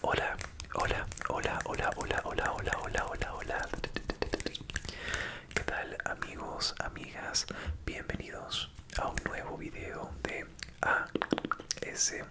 Hola, hola, hola, hola, hola, hola, hola, hola, hola, hola. ¿Qué tal amigos, amigas? Bienvenidos a un nuevo video de R.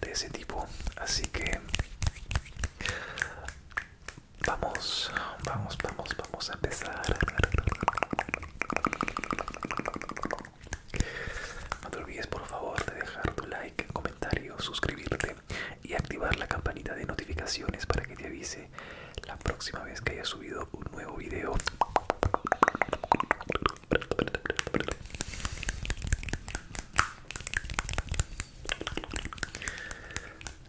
de ese tipo así que vamos vamos vamos vamos a empezar no te olvides por favor de dejar tu like comentario suscribirte y activar la campanita de notificaciones para que te avise la próxima vez que haya subido un nuevo video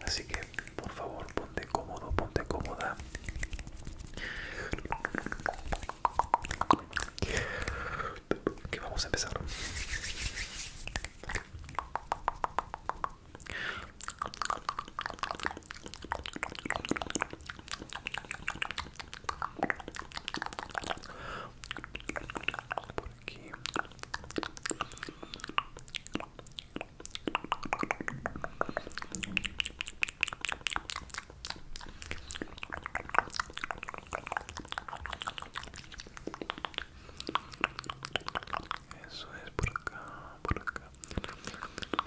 Así que por favor ponte cómodo, ponte cómoda. Que vamos a empezar. por aquí eso es por acá por acá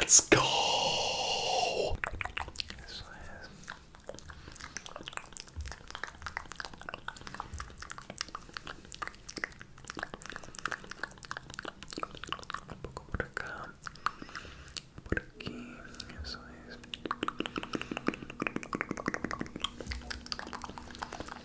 Let's go. Poco por acá, por aquí, eso es.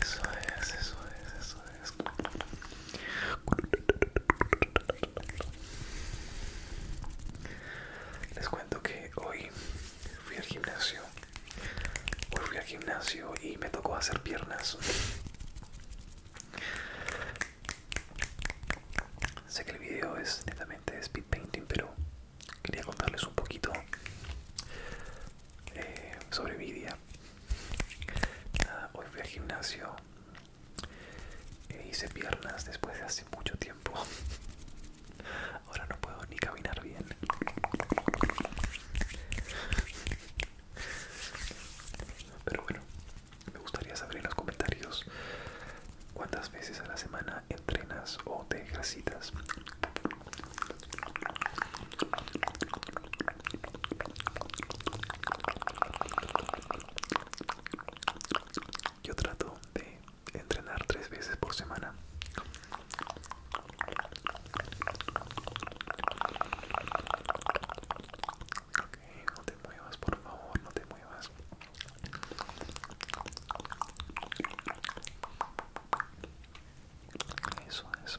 Eso es, eso es, eso es. Les cuento que hoy fui al gimnasio Hoy fui al gimnasio y me tocó hacer piernas. Sé que el video es netamente de speed painting, pero quería contarles un poquito eh, sobre mi día. hoy fui al gimnasio, e hice piernas después de hace mucho tiempo. Ahora no puedo ni caminar bien. Pero bueno, me gustaría saber en los comentarios cuántas veces a la semana entrenas o te ejercitas. Yo trato de entrenar tres veces por semana. Ok, no te muevas, por favor, no te muevas. Eso es.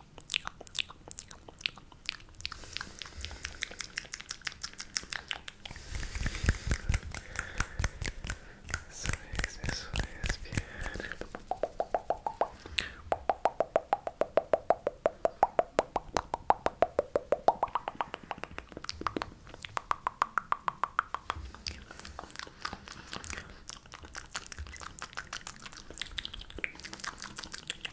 This way, this way is beautiful.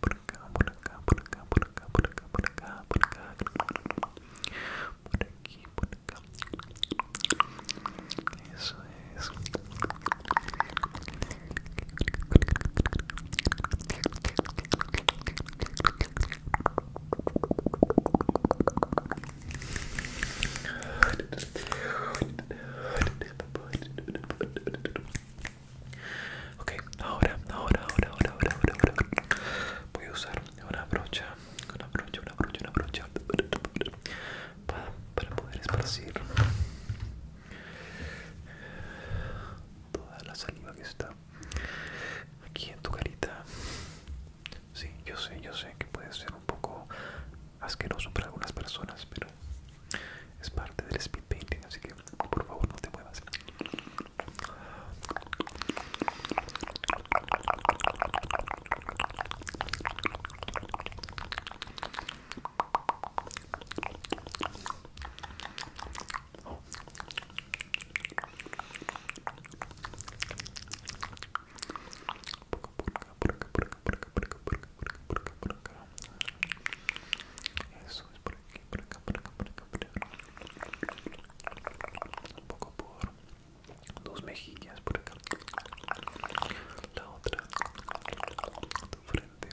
berkah berkah berkah berkah berkah berkah berkah berkah berkah eso es Ok, ahora, ahora, ahora, ahora, ahora, ahora, voy a usar una brocha, una brocha, una brocha, una brocha para, para poder esparcir toda la saliva que está aquí en tu carita. Sí, yo sé, yo sé que puede ser un poco asqueroso para algunas personas, pero es parte del speed painting, así que por favor no te muevas. Por acá, por acá, por acá, por por acá, por acá, por acá. Eso es por aquí, por acá, por acá, por acá, por acá. Un poco por dos mejillas por acá. La otra, frente,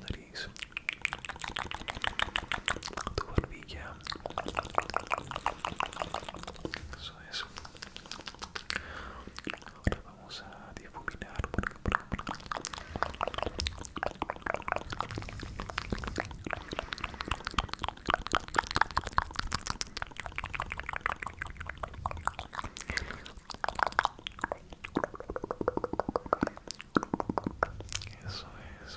nariz, tu Eso es. Ahora vamos a difuminar. Eso es.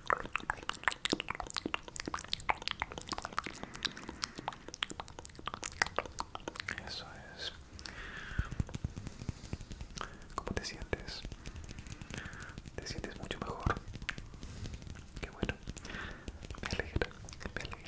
Eso es. ¿Cómo te sientes? ¿Te sientes mucho mejor? Qué bueno. Me alegra, me alegra,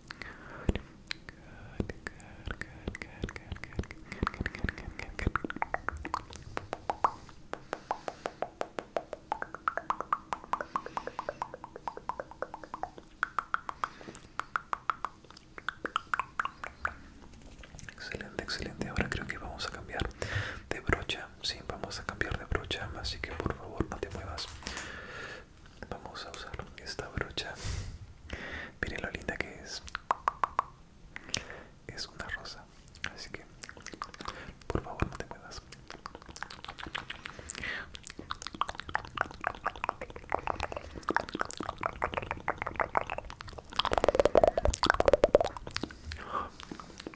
Excelente, excelente. Ahora creo que vamos a cambiar de brocha. Sí, vamos a cambiar de brocha. Así que por favor no te muevas vamos a usar esta brocha miren lo linda que es es una rosa así que por favor no te puedas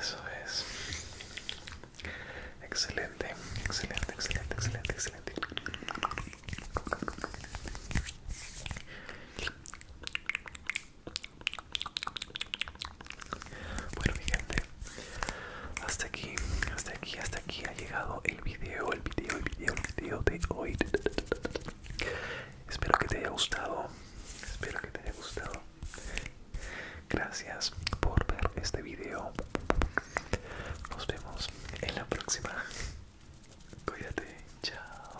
Eso es. Excelente, excelente, excelente, excelente, excelente. Bueno mi gente, hasta aquí, hasta aquí, hasta aquí ha llegado el video, el video, el video, el video de hoy. Espero que te haya gustado, espero que te haya gustado. Gracias por ver este video. Nos vemos en la próxima. Cuídate, chao.